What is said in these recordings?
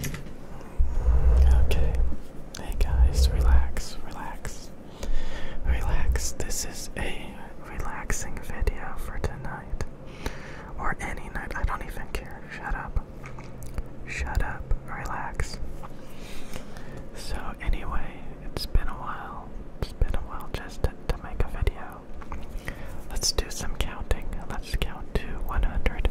Okay. Hey guys, relax, relax. Relax. This is a relaxing video for tonight. Or any night. I don't even care. Shut up. Shut up. Relax. So, anyway, it's been a while. It's been a while just to, to make a video. Let's do some counting. Let's count to 100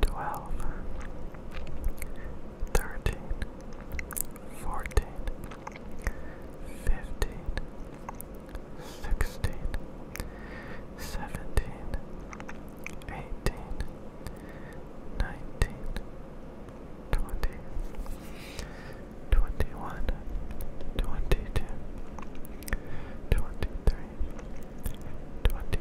12 13 14 15 16 17 18 19 20 21 22 23 24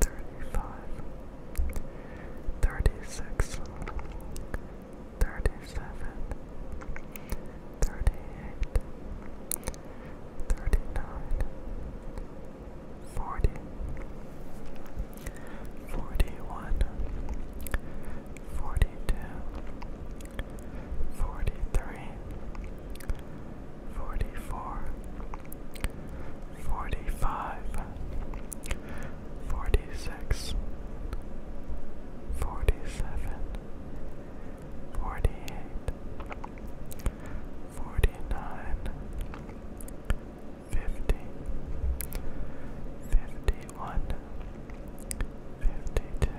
thirty-five, thirty-six, thirty-seven, thirty-eight, thirty-nine, forty, forty-one, forty-two, forty-three. Forty-four, forty-five, forty-six, forty-seven, forty-eight, forty-nine, fifty, fifty-one, fifty-two. 51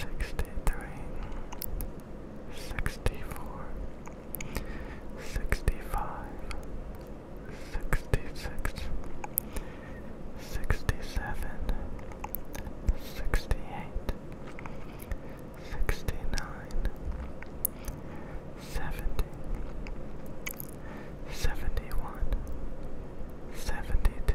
sixty-three, sixty-four, sixty-five, sixty-six, sixty-seven, sixty-eight, sixty-nine, seventy, seventy-one, seventy-two. 71 72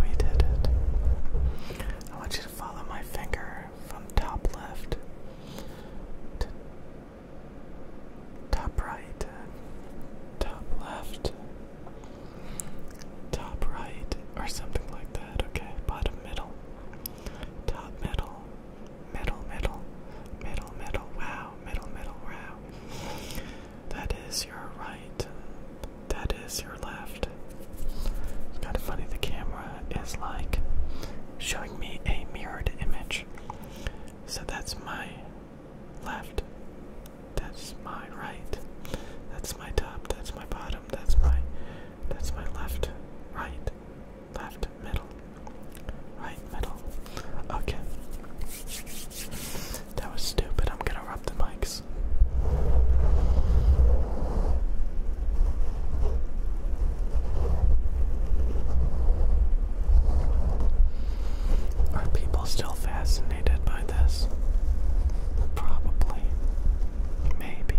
We did it. I want you to follow my finger from top left to top right, top left, top right, or something like that, okay? Bottom middle, top middle, middle, middle, middle, middle, wow, middle, middle, wow. That is your right. That is your left. It's kind of funny, the camera is like showing me a mirrored image. So that's my left. That's my right. That's my top. That's my bottom. That's my that's my left, right, left, middle, right, middle. Okay. That was stupid. I'm gonna rub the mics. Are people still fascinated by this? Probably. Maybe.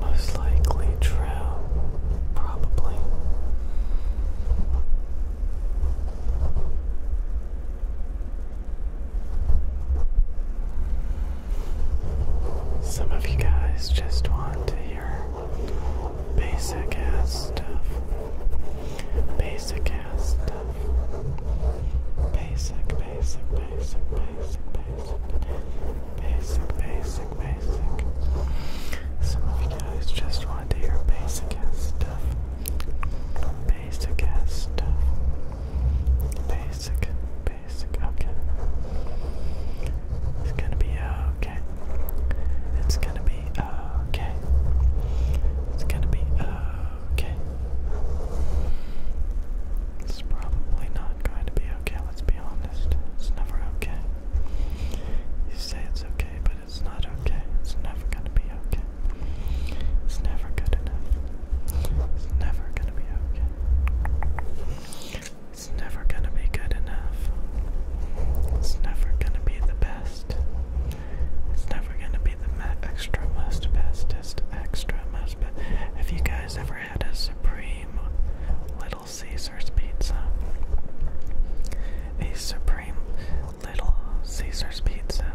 Most likely true probably. Some of you guys just want to hear basic ass stuff. Basic ass stuff. Basic, basic, basic, basic, basic. Basic, basic, basic. Some of you guys just wanted to hear basic ass stuff. Basic ass stuff. Basic, basic, okay. It's gonna be uh, okay. It's gonna be uh, okay. It's gonna be uh, okay. It's probably not going to be okay let's be honest. It's never okay. You say it's okay, but it's not okay. It's never gonna be okay. It's never good enough. It's never gonna be okay. It's never gonna be good enough. It's never gonna be the best. It's never gonna be the ma extra most bestest extra most best. Have you guys ever had a supreme? Little Caesars Pizza. A supreme Little Caesars Pizza.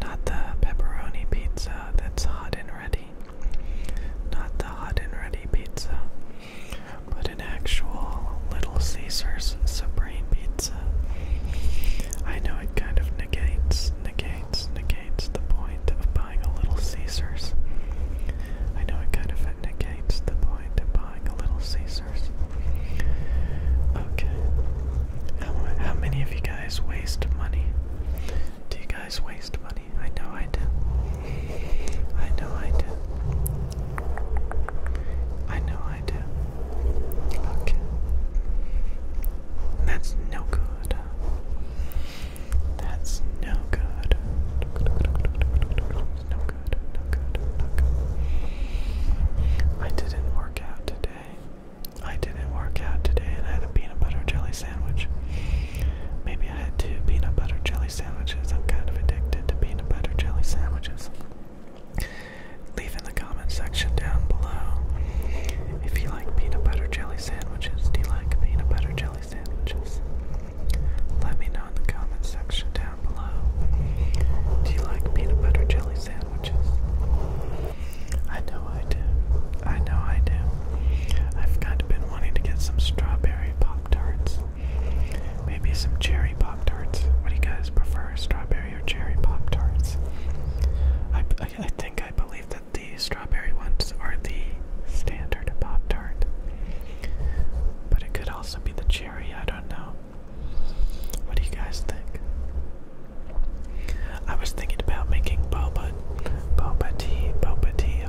Not the pepperoni pizza that's hot and ready. Not the hot and ready pizza. But an actual Little Caesars Supreme Pizza. I know it kind of negates, negates, negates the point of buying a Little Caesars. I know it kind of negates the point of buying a Little Caesars. Okay. how many of you guys waste money? Do you guys waste money? I know I do. I know I do. I know I do. Okay. That's no good. That's no good. No good, no good, no good. I didn't work out today. I didn't work out today and I had a peanut butter jelly sandwich. Maybe I had two peanut butter jelly sandwiches. I'm kind of addicted to peanut butter jelly sandwiches. Leave in the comment section down below if you like peanut butter jelly sandwiches. Do you like peanut butter jelly sandwiches? Let me know in the comment section down below. Do you like peanut butter jelly sandwiches? I know I do. I know I do. I've kind of been wanting to get some strawberry Pop Tarts. Maybe some cherry Pop Tarts. What do you guys prefer, strawberry or cherry Pop Tarts? I, I think I believe that the strawberry ones are the standard Pop Tart. But it could also be the cherry, I don't know. What do you guys think? I was thinking about making boba, boba tea, boba tea.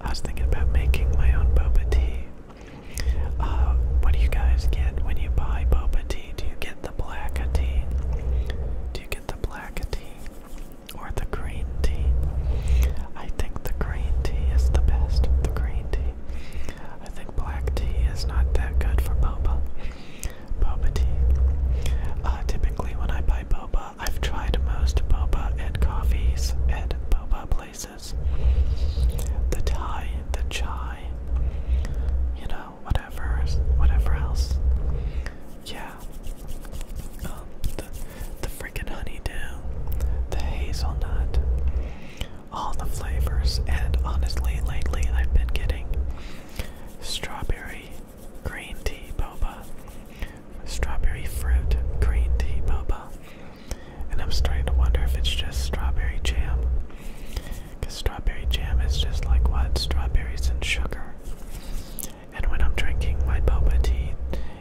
I was thinking about making my own boba tea. Uh, what do you guys get when you buy boba tea? Do you get the black tea? Do you get the black tea? or the green tea. I think the green tea is the best. The green tea. I think black tea is not that good for boba. Boba tea. Uh, typically, when I buy boba, I've tried most boba and coffees at boba places. The Thai, the chai, you know, whatever, whatever else yeah, um, the the freaking honeydew, the hazelnut, all the flavors. And honestly, lately I've been getting strawberry green tea boba, strawberry fruit green tea boba, and I'm starting to wonder if it's just strawberry jam. Because strawberry jam is just like what? Strawberries and sugar. And when I'm drinking my boba tea,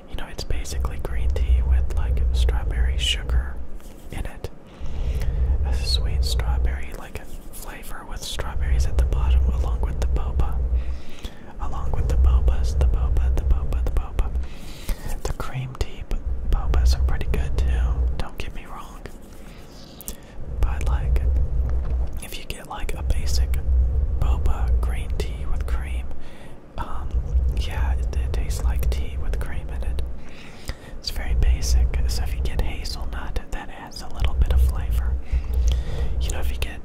you know, it's basically green tea with like strawberry sugar in it. A sweet strawberry like flavor with strawberries at the bottom along with the boba. Along with the bobas, the boba, the boba, the boba. The cream tea bobas are pretty good too, don't get me wrong. But like, if you like a basic boba green tea with cream. Um, yeah, it, tastes like tea with cream in it. It's very basic. So if you get hazelnut, that adds a little bit of flavor. You know, if you get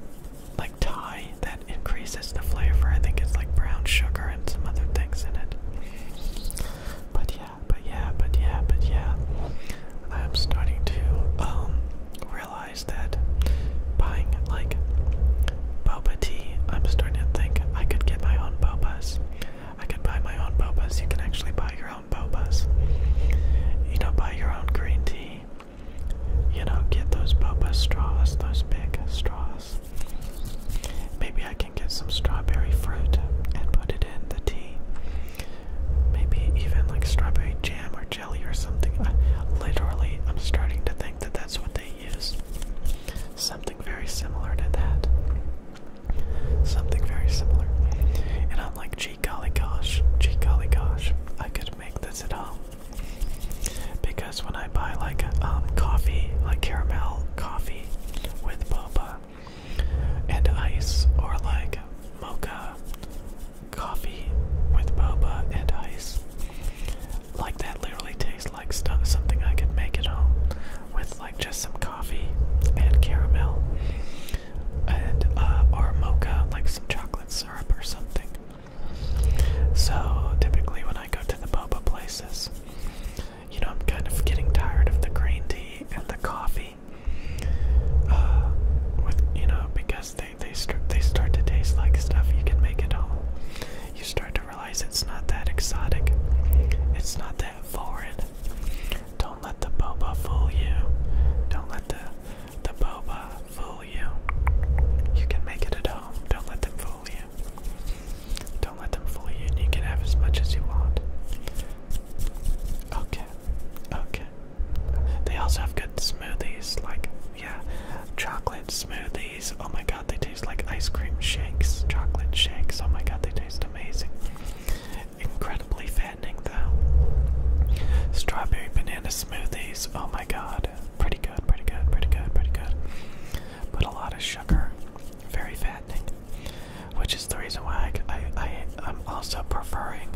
like Thai, that increases the flavor. I think it's like brown sugar and some other things in it. But yeah, but yeah, but yeah, but yeah. I'm starting to um, realize realize that buying like boba tea, I'm starting to think I could get my own bobas. I could buy my own bobas. You can actually buy your own bobas. You know, buy your own green tea. You know, get those boba straws, those big straws. Maybe I can get some strawberry fruit and put it in the tea. Maybe even like strawberry jam or jelly or something. literally, I'm starting to think that that's what they use. Something very similar to that. Something very similar. And I'm like, gee golly gosh, gee golly gosh, I could make this at home. Because when I buy like um, coffee, like caramel coffee with boba and ice, or like mocha coffee with boba and ice. Like that literally tastes like stuff, something I could make at home with like just some coffee and caramel and uh, or mocha, like some chocolate syrup or something. So typically when I go to the boba places, you know I'm kind of getting tired of the green tea and the coffee. Uh, with you know because they they start they start to taste like stuff you can make at home. You start to realize it's not that exotic. It's not that foreign. Don't let the boba fool you. Don't let the the boba fool you. You can make it at home. Don't let them fool you. Don't let them fool you. You can have as much as you want. Okay. Okay. They also have good smoothies, like, yeah, chocolate smoothies. Oh my god, they taste like ice cream shakes, chocolate shakes. Oh my god, they taste amazing. Incredibly fattening, though. Strawberry banana smoothies. Oh my god, pretty good, pretty good, pretty good, pretty good. But a lot of sugar, very fattening, which is the reason why I, I, I, I'm also preferring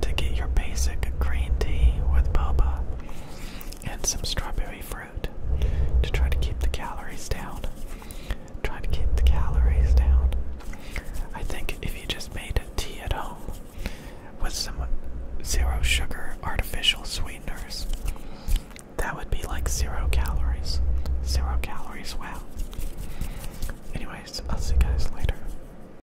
to get your basic green tea with boba and some strawberry fruit to try to keep the calories down. Try to keep the calories down. I think if you just made a tea at home with some zero sugar artificial sweeteners, that would be like zero calories. Zero calories, wow. Anyways, I'll see you guys later.